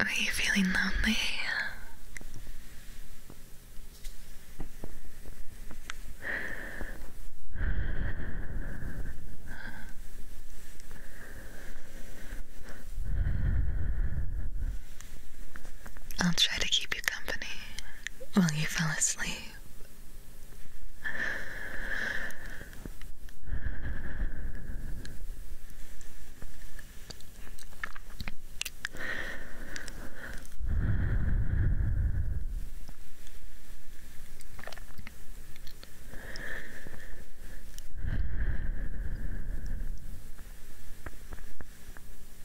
Are you feeling lonely? I'll try to keep you company while you fall asleep.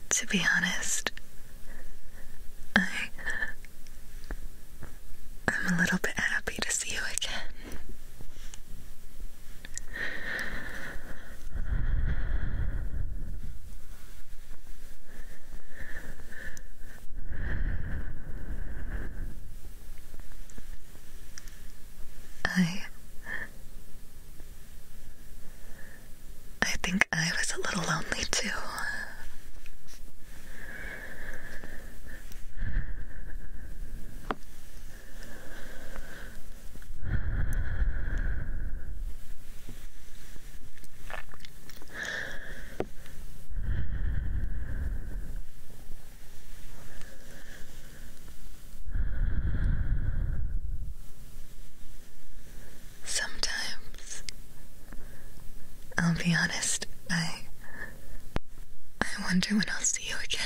To be honest, I I'm a little bit happy to see you again. I I think I was a little lonely too. Sometimes, I'll be honest, I I wonder when I'll see you again.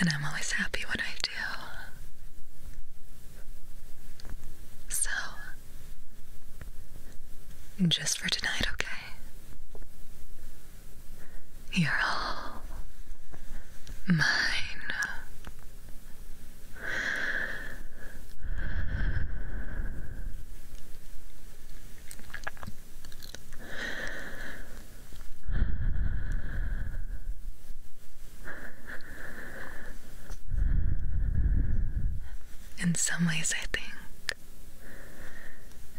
And I'm always happy when I do. So, just for tonight, okay? You're all mine. In some ways, I think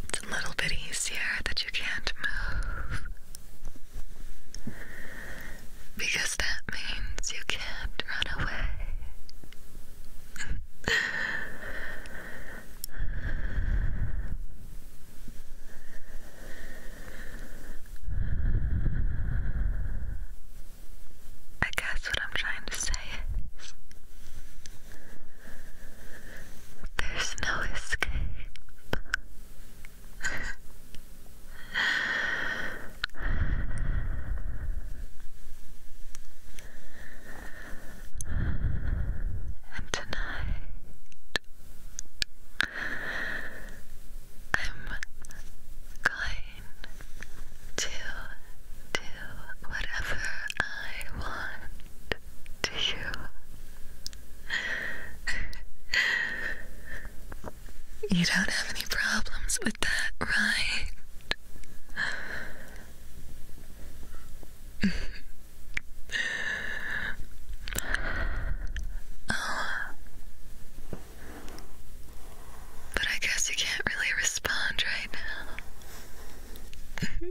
it's a little bit easier that you can't move because that means you can't run away. I guess what I'm trying to say is there's no escape. And tonight, I'm going to do whatever I want to you. you don't have any problems with that, right? Oh. But I guess you can't really respond right now.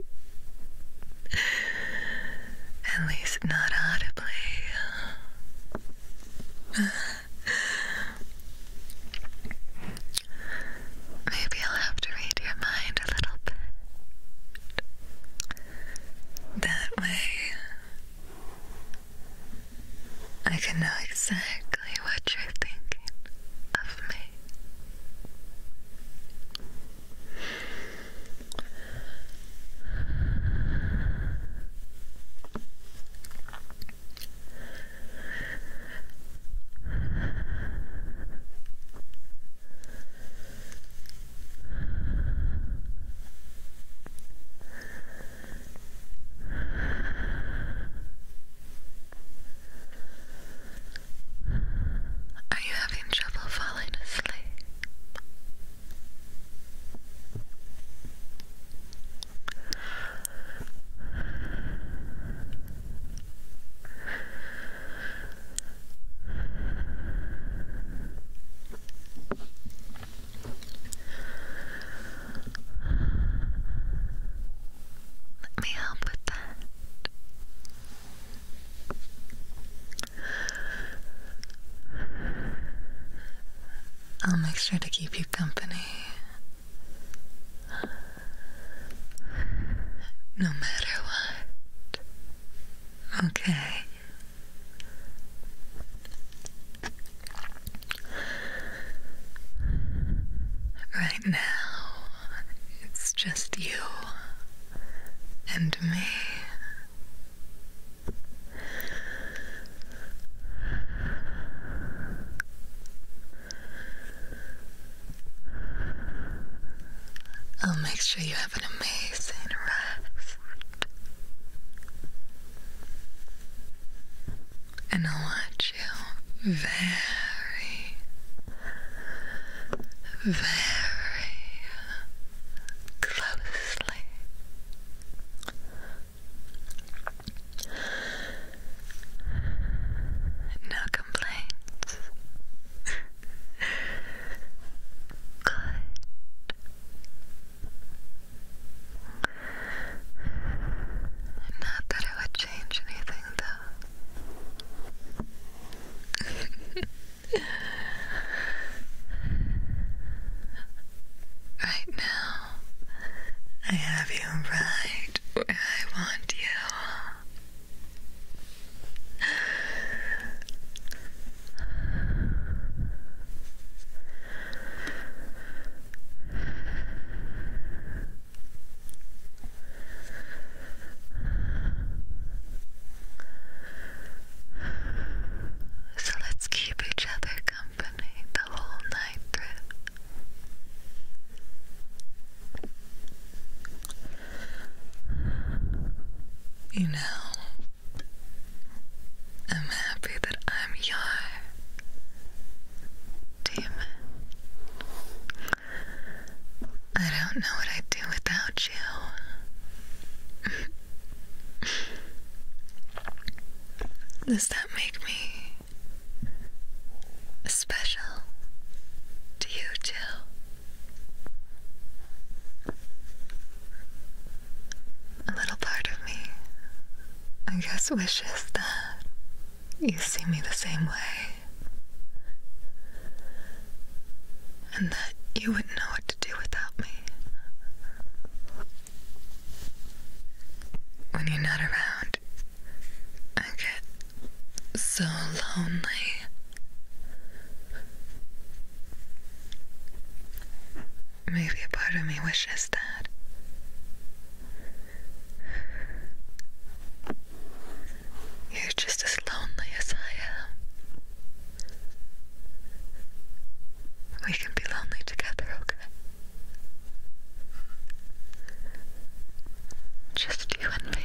At least not audibly. Maybe I'll have to read your mind a little bit. That way, I can know exactly what you're thinking of me. Are you having trouble falling asleep? Let me help with that. I'll make sure to keep you company no matter what. Okay. Right now, it's just you and me. I'll make sure you have an amazing rest. And I'll watch you very, very closely. No complaints. Good. Not that it would change anything, though. right now, I have you right where I want you. So let's keep each other company the whole night through. You know, I'm happy that I'm your demon. I don't know what I'd do without you. Does that make me special to you too? A little part of me, I guess, wishes that you see me the same way. And that you wouldn't know what to do without me. When you're not around, I get so lonely. Maybe a part of me wishes that. You're just as lonely as I am. We can be lonely together, okay? Just you and me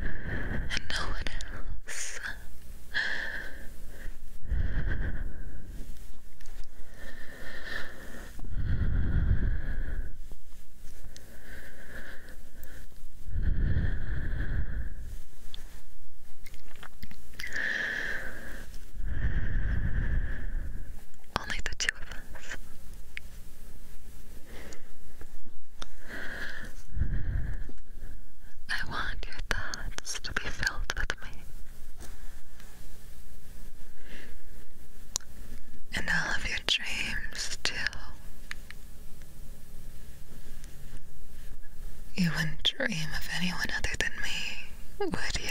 and no one else. Only the two of us. I want your thoughts to be filled with me. And all of your dreams, too. You wouldn't dream of anyone other than me, would you?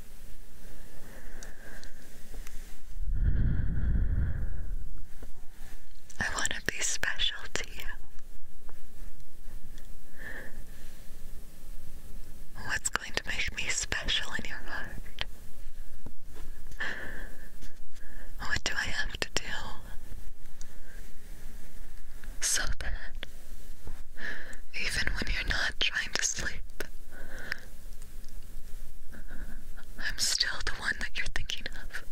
I want to be special to you. What's going to make me special in your heart? What do I have to do so that even when you're not I'm asleep. I'm still the one that you're thinking of.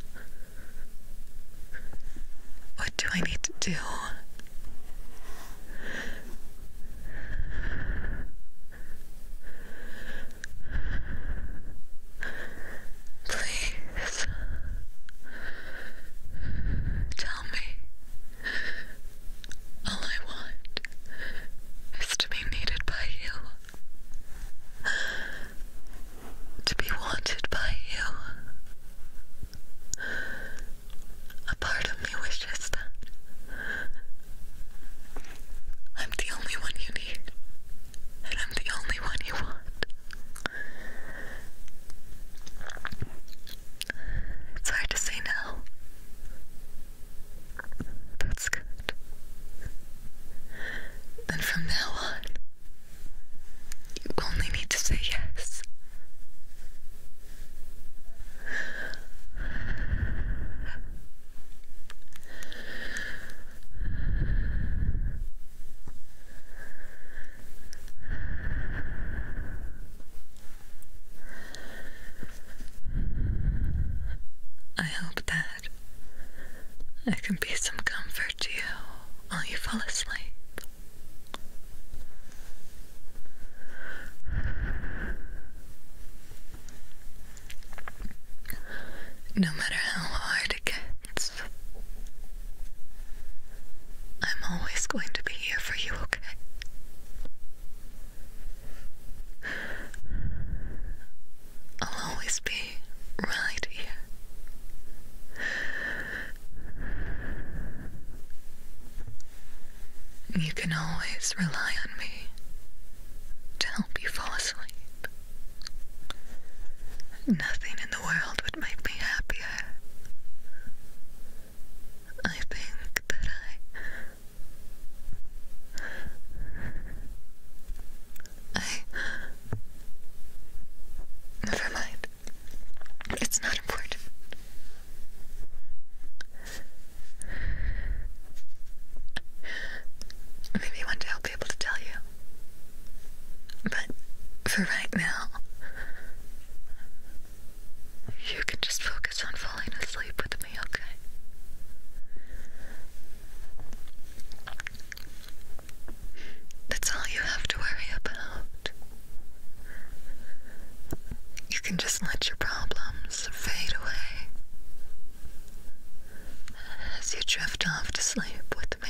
What do I need to do? Please tell me. All I want is to be needed by you, to be wanted by you. A part of me wishes that I'm the only one you need, and I'm the only one you want. It's hard to say now. That's good. Then from now on, you only need to say yes. I hope that I can be some comfort to you while you fall asleep. No matter how hard it gets, I'm always going to be here for you, okay? I'll always be right here. You can always rely on me to help you fall asleep. Nothing in the world would make me happier I think that I. I. Never mind. It's not important. Maybe one day I'll be able to tell you. But for right now, you can just focus on falling asleep with me, okay? That's all you have to worry about. You can just let your problems fade away as you drift off to sleep with me.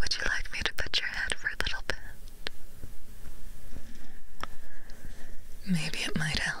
Would you like me to put your head for a little bit? Maybe it might help.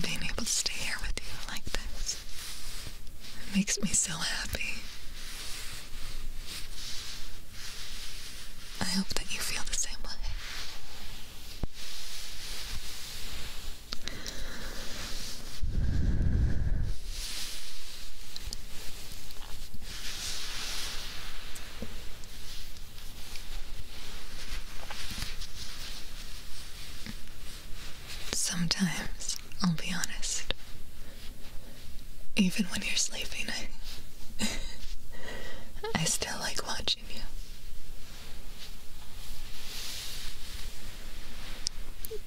being able to stay here with you like this. It makes me so happy. I hope that you feel the same way. Sometimes, I'll be honest. Even when you're sleeping, I, I still like watching you.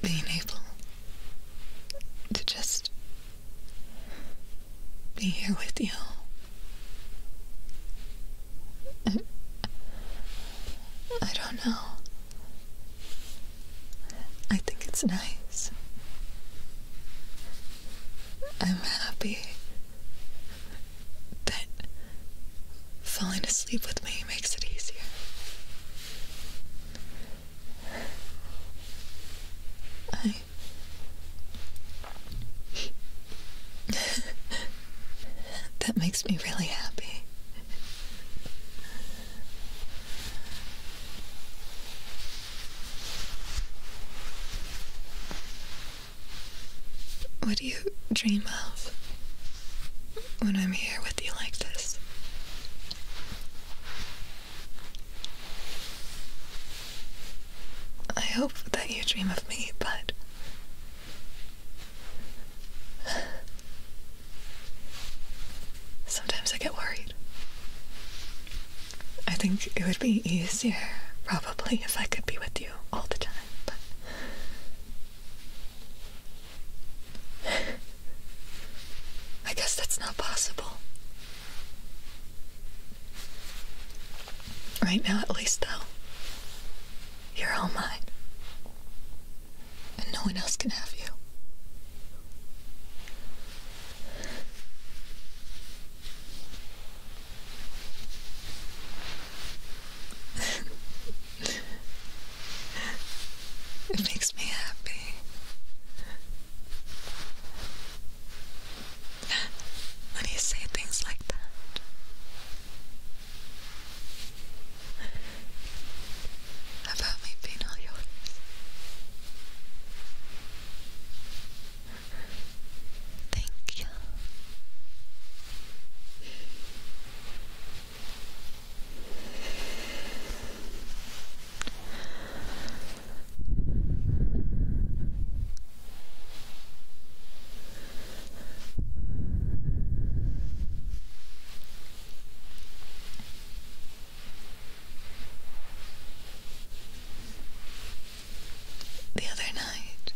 Being able to just be here with you. I don't know. I think it's nice. I'm happy that falling asleep with me makes it easier. I. That makes me really happy. What do you dream of when I'm here with you like this? I hope that you dream of me, but Sometimes I get worried. I think it would be easier, probably, if I could be with you all the time, but. I guess that's not possible. Right now, at least, though. You're all mine. And no one else can have you. it makes me happy. When you say things like that, about me being yours. Thank you. The other night,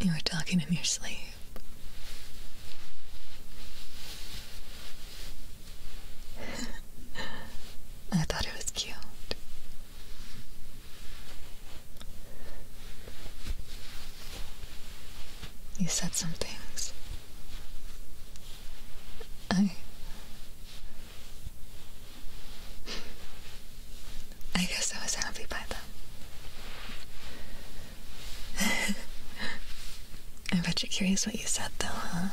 you were talking in your sleep. I thought it was cute. You said some things. I. I guess I was happy by them. I am actually curious what you said, though, huh?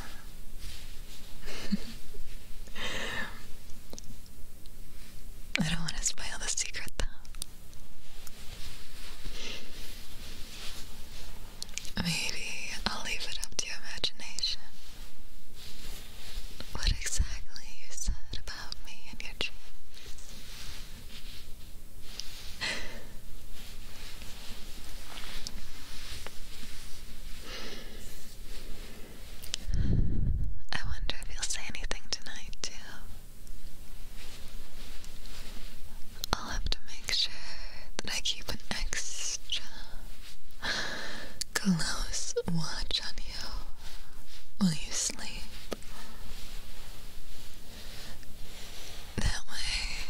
I don't want to spoil the secret, though. Maybe I'll leave it up to your imagination. What exactly you said about me in your dream. I wonder if you'll say anything tonight, too. I'll have to make sure that I keep an extra close watch on you while you sleep. That way,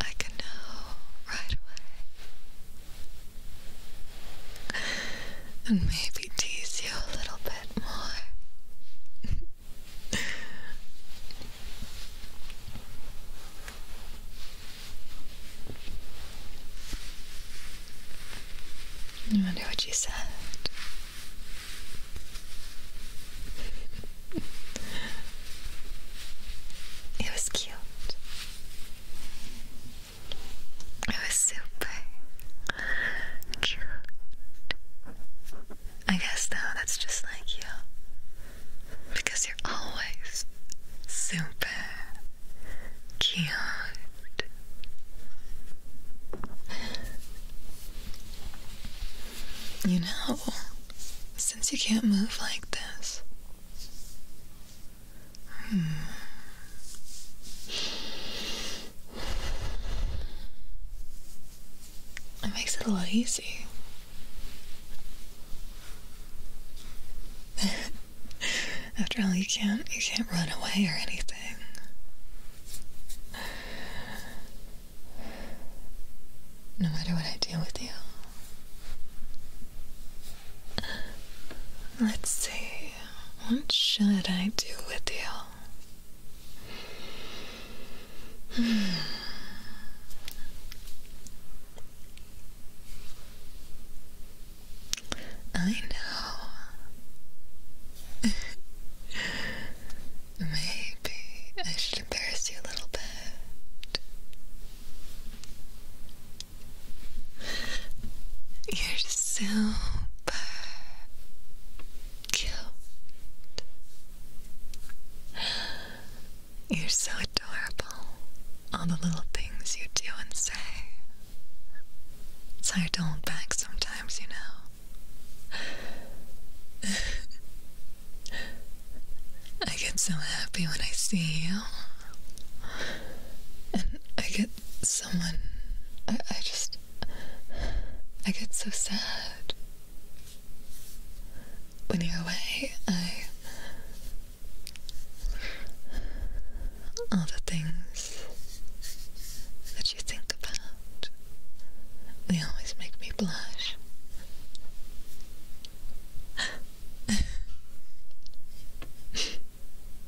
I can know right away. And maybe maybe tease you a little bit more. I wonder what you said. it was cute. It was super. I guess though that's just like you. Because you're always super cute. You know, since you can't move like this, hmm, it makes it a lot easier. After all, you can't you can't run away or anything. No matter what I do with you. Let's see, what should I do with you? I know. Maybe I should embarrass you a little bit. You're super cute. You're so adorable. All the little things you do and say. It's hard to hold back sometimes, you know. I get so happy when I see you. And I get someone. I just. I get so sad. When you're away, I. All the things that you think about, they always make me blush.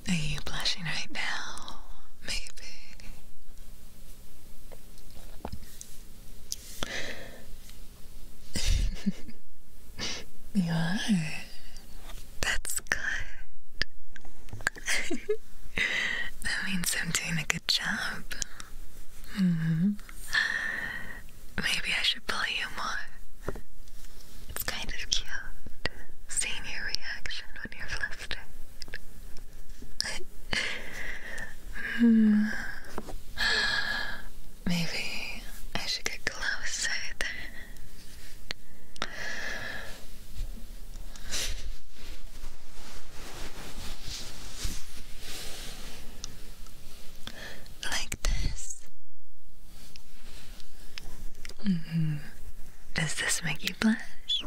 Are you blushing right now? Maybe. you are. That's good. that means I'm doing a good job. Mm-hmm. Maybe I should pull you more. It's kind of cute seeing your reaction when you're flustered. Hmm. Maybe I should get closer then. Like this. Mm-hmm. Does this make you? blush.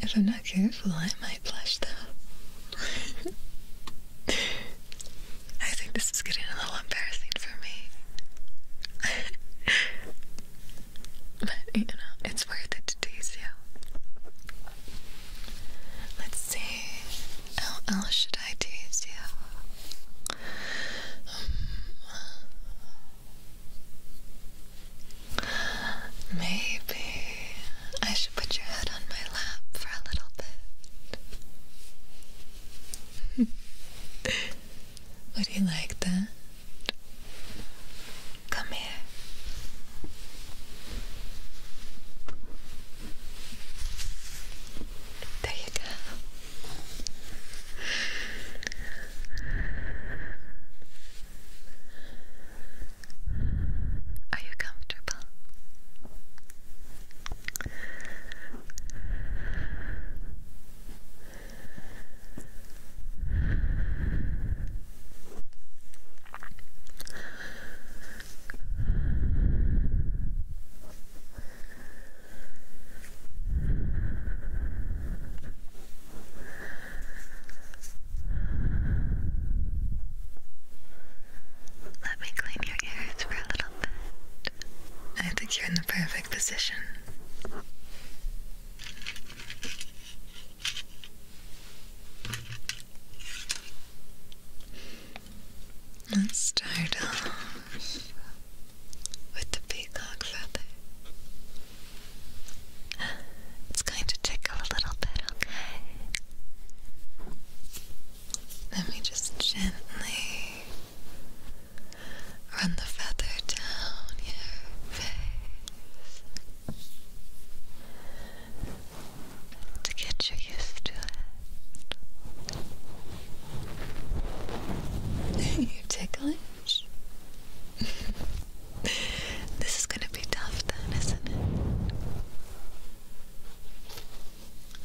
if I'm not careful, I might blush though. I think this is getting a little embarrassing for me. but, you know, it's worth it to tease you. Let's see, how else should I tease you? Um, maybe I should put your head on my lap for a little bit. Would you like that? Come here. There you go. Are you comfortable? Let me clean your ears for a little bit. I think you're in the perfect position. Let's start off with the peacock feather. It's going to tickle a little bit, okay? Let me just gently run the feather down your face to get you used to it. you ticklish? this is gonna be tough then, isn't it?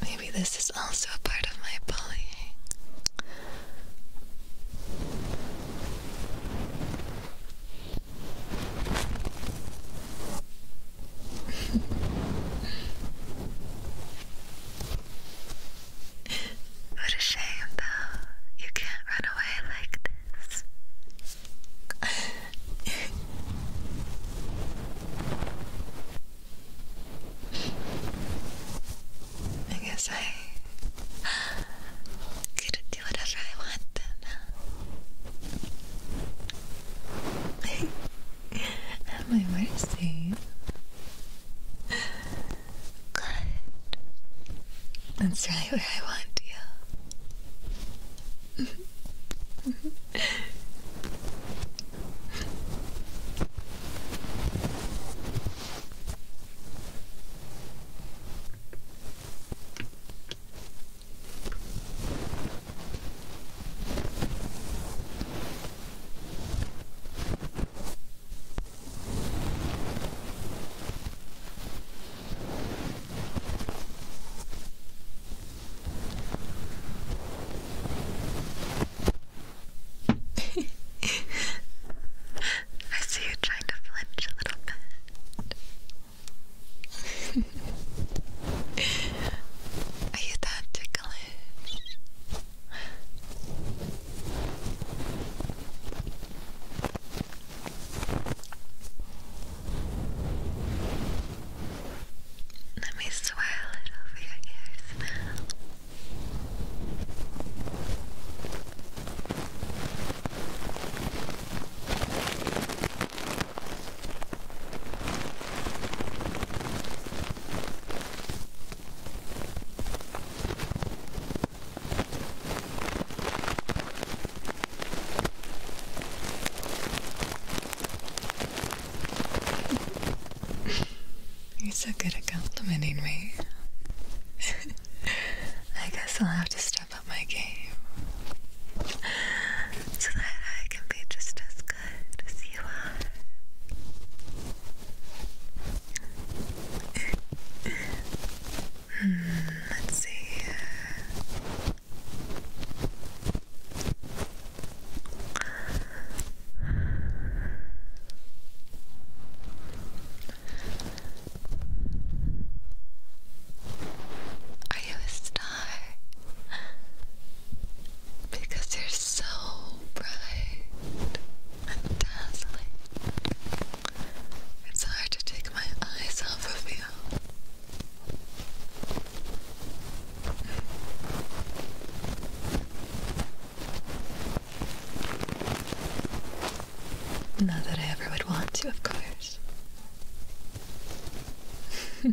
Maybe this is also a part of my bullying what a shame, though. You can't run away like this. I guess I could do whatever I want then. At my mercy. Good. That's right where I want you. I see you trying to flinch a little bit. Are you that ticklish? Let me swirl it over your ears now. You're so good at complimenting me. I guess I'll have to step up my game so that I can be just as good as you are. hmm, let's see Are you a star? because you're so bright and dazzling. It's hard to take my eyes off of you. Not that I ever would want to, of course.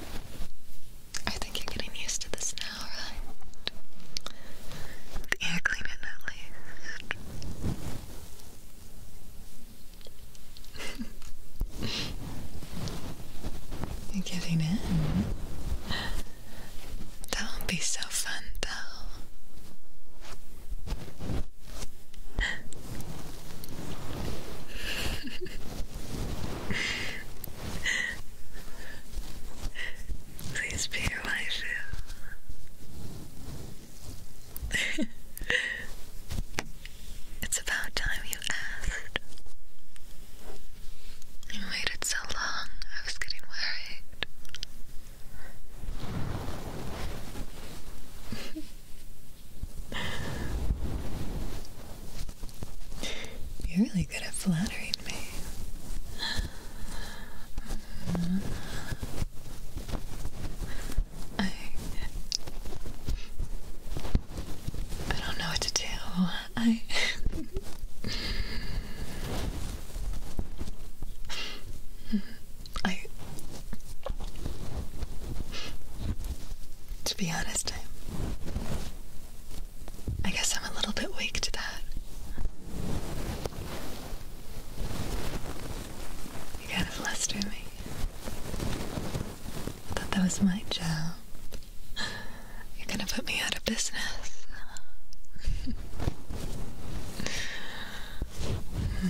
I think you're getting used to this now, right? air cleaner at least. you're giving in. That won't be so fun, though. Please be my waifu. it's about time you asked. You waited so long, I was getting worried. You're really good at flattering me. I, I don't know what to do. I. I to be honest, I, guess I'm a little bit weak to that. You kind of fluster me. I thought that was my job. You're gonna put me out of business. Hmm.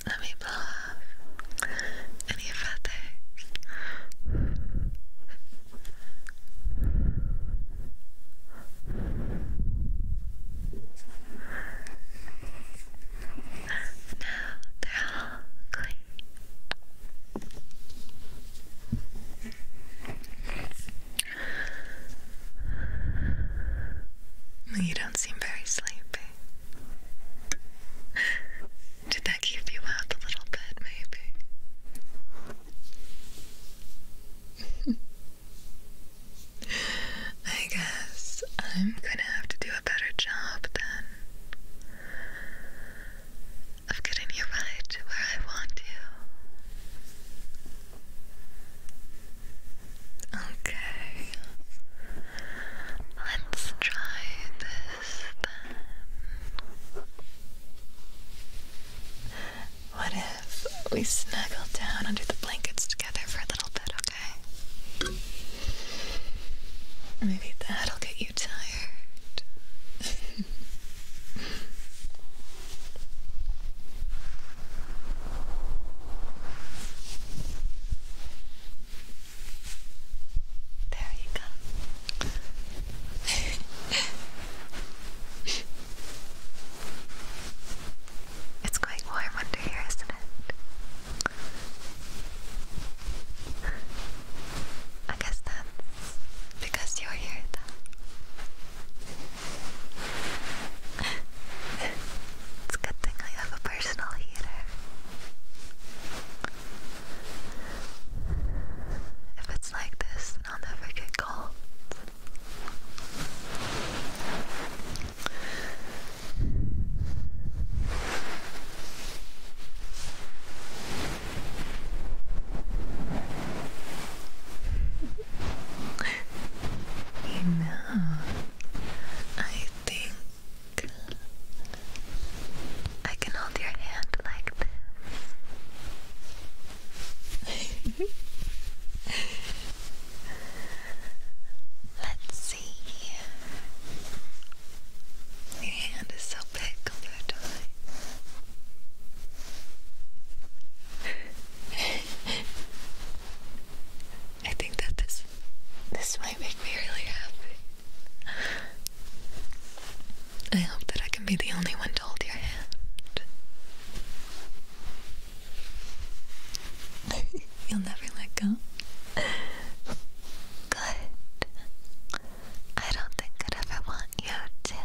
Let me blow off any feathers. Now they're all clean. You don't seem very sleepy. Did that keep you out a little bit, maybe? I guess I'm gonna have to do a better job then of getting you right to where I want you. Okay. Let's try um, what if we snuggle down under the blankets together for a little bit, okay? Maybe that'll get you tired. There you go. it's quite warm under here, isn't it? I guess that's because you're here, though. it's a good thing I have a personal heater. If it's like this, I'll never get cold. you know, I think I can hold your hand like this. Let's see. Your hand is so big compared to I think that this this might make me really happy. I hope that I can be the only one to hold your hand. You'll never let go. Good. I don't think i ever want you to.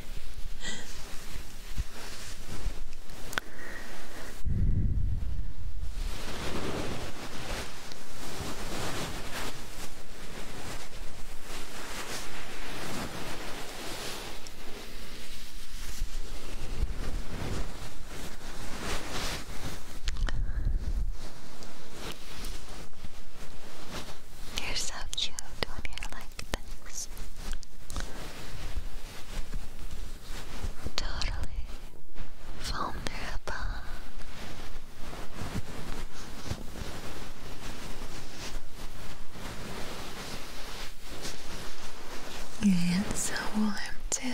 You're so cute when you like this totally vulnerable. And so warm too.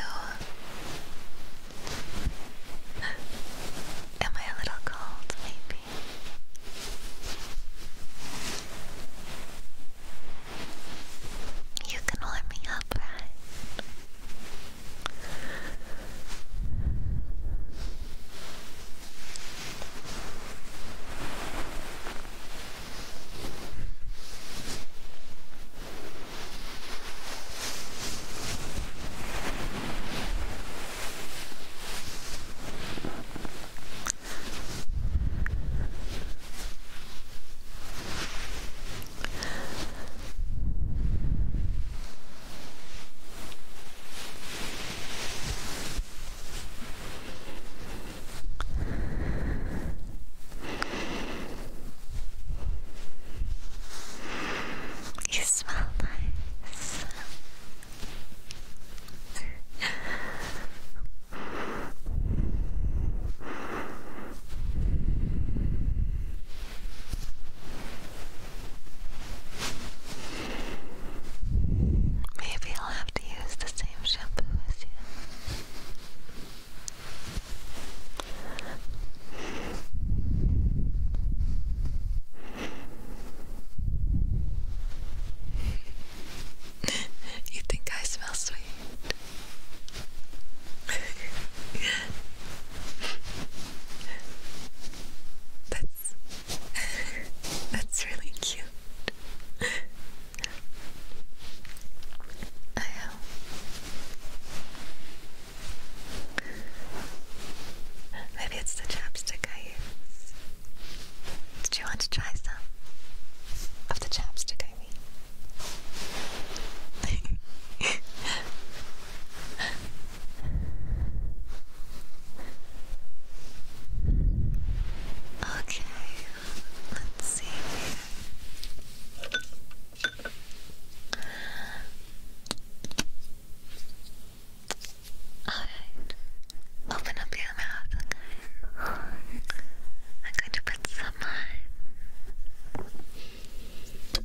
Am I a little cold, maybe? You can warm me up, right? You smell nice. Maybe I'll have to use the same shampoo as you. you think I smell sweet? that's that's really cute. I know. Um, maybe it's the chapstick I use. Did you want to try some of the chapstick I mean? okay, let's see. Alright, open up your mouth, I'm going to put with someone. Uh,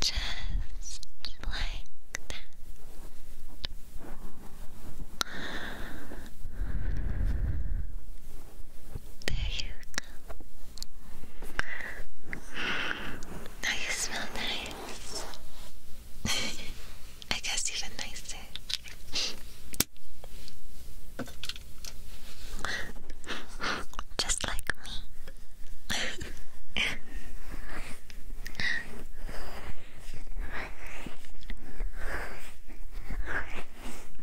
just like that. There you now you smell nice. I guess even nicer. Just like me.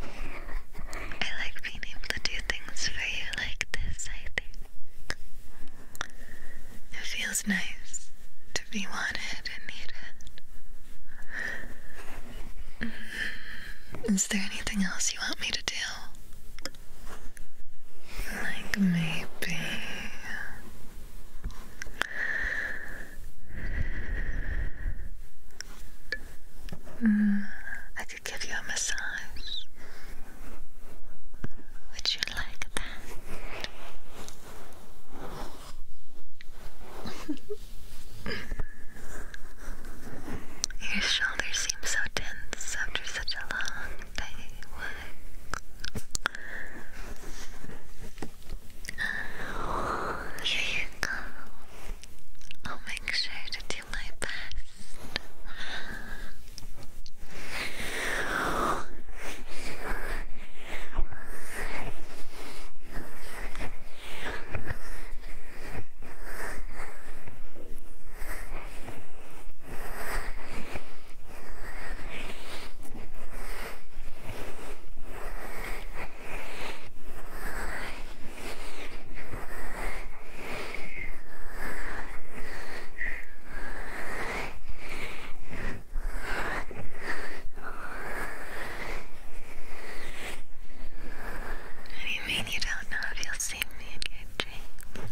I like being able to do things for you like this, I think. It feels nice to be wanted and needed. Mm. Is there anything else you want me to do? Like maybe. Mm, I could give you a massage. Would you like that? Your shoulders seem so tense after such a long day. Oh, here you go. I'll make sure to do my best. What do you mean you don't know if you'll see me again, James?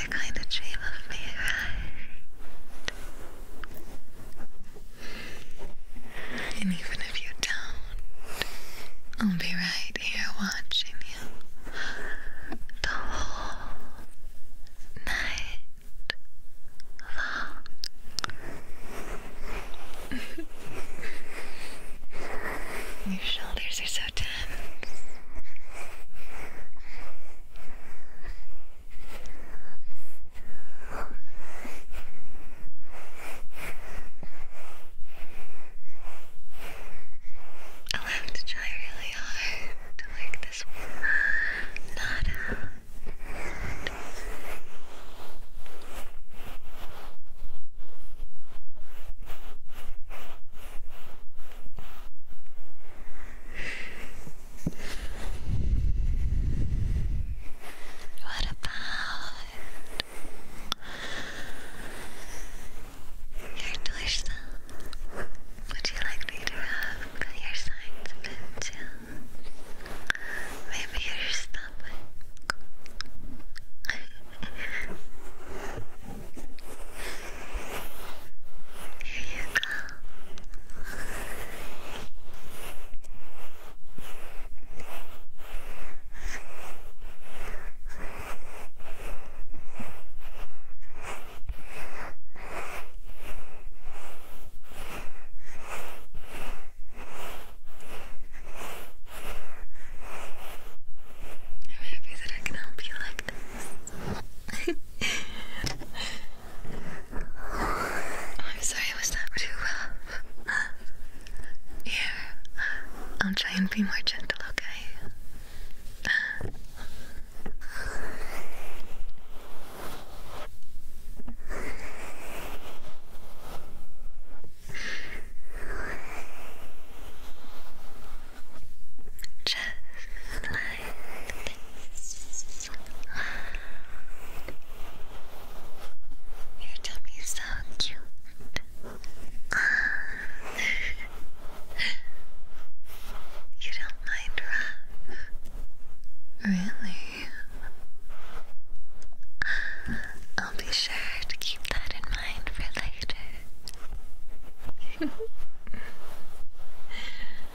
You're going to dream of me, right? And even if you don't, I'll be right here watching you the whole night long. Your shoulders are so tense. Oh, I'll have to try really hard to make this not uh, what about your torso? Would you like me to rub your sides too? Maybe your stomach? I'm happy that I can help you like this. I'm sorry, it was that too well. Uh, here, uh, I'll try and be more gentle, okay? Uh, just like this. Your tummy is so cute. you don't mind rough. Really? I'll be sure to keep that in mind for later.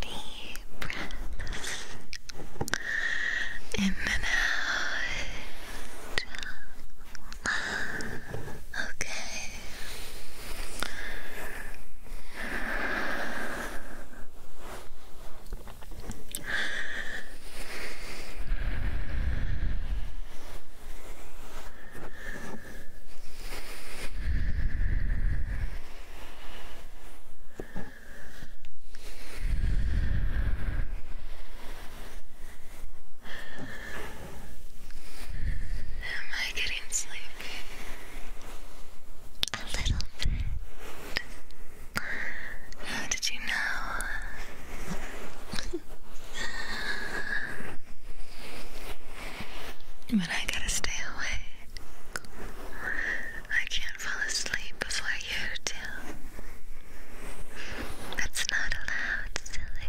Deep breath in and out. Okay. Am I getting sleepy? A little bit. How did you know? but I gotta stay awake. I can't fall asleep before you do. That's not allowed, silly.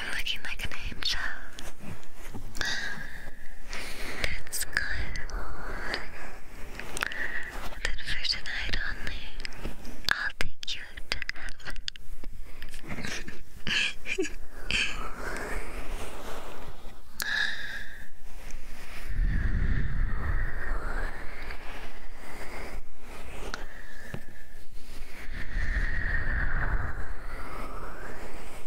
I'm looking like an angel. That's good. But for tonight only, I'll take you to heaven.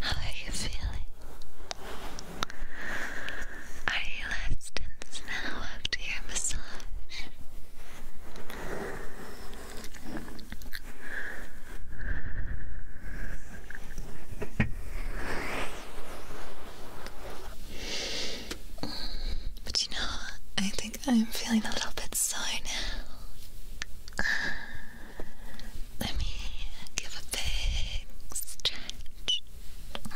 How are you feeling? Are you less now after your massage? But you know, I think I'm feeling a little bit sore now. Let me give a big stretch. I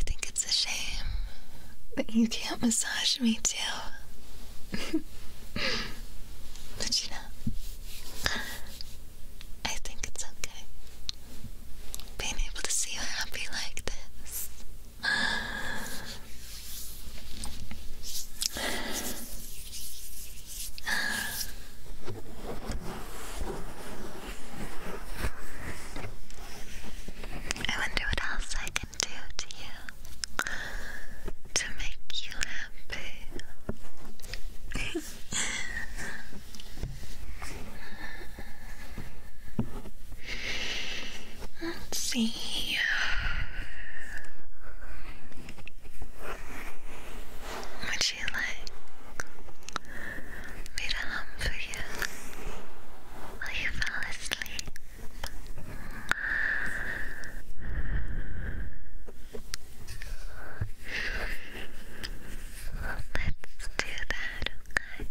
think it's a shame that you can't massage me too. but you know, I think it's okay being able to see you happy like this. I wonder what else I can do to you to make you happy. Let's see. Would you like me to hum for you while you fall asleep? Let's do that, okay?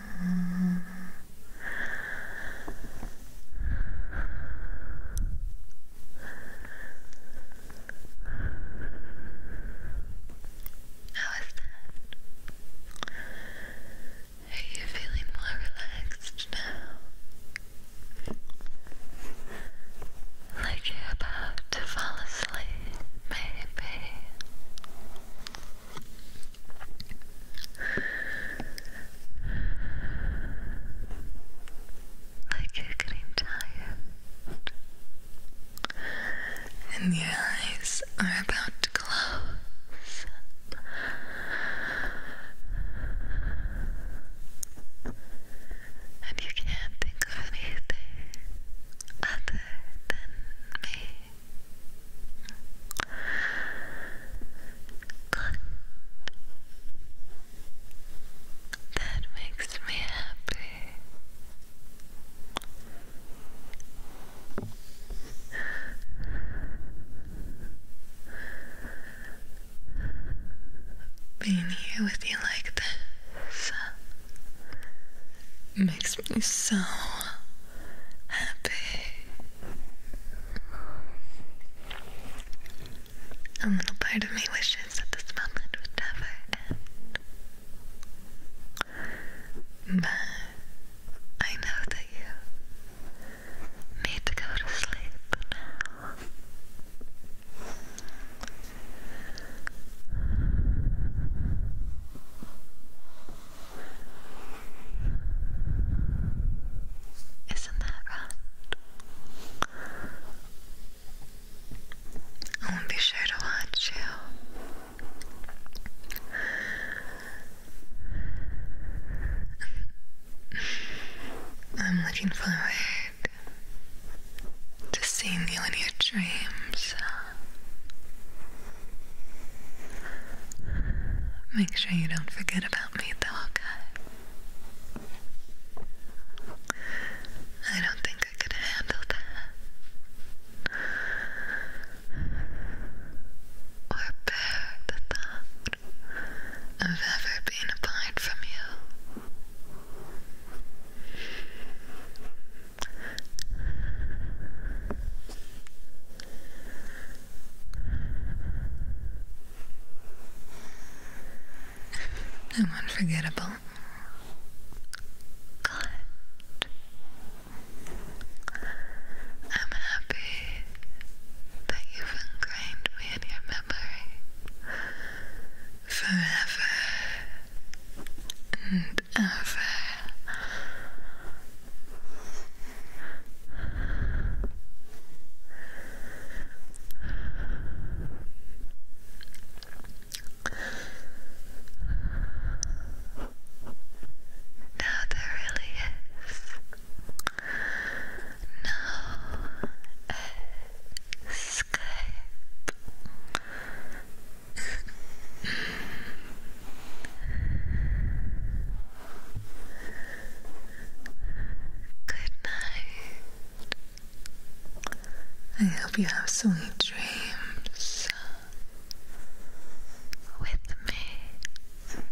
How is that? Are you feeling more relaxed now? Like you're about to fall asleep, maybe. I'm getting tired, and your eyes are about to close. And you can't think of anything other than me. Good. That makes me happy. Being here with you like this uh, makes me so happy. A little part of me wishes that this moment would never end. But I know that you need to go to sleep isn't that right? I will be sure to watch you. I'm looking forward to seeing you in your dreams. Make sure you don't forget about me, though, okay? I don't think I could handle that. Or bear the thought of ever being apart from you. No unforgettable. I'm happy that you've ingrained me in your memory forever and ever. No, there really is no escape. Good night. I hope you have sweet dreams with me.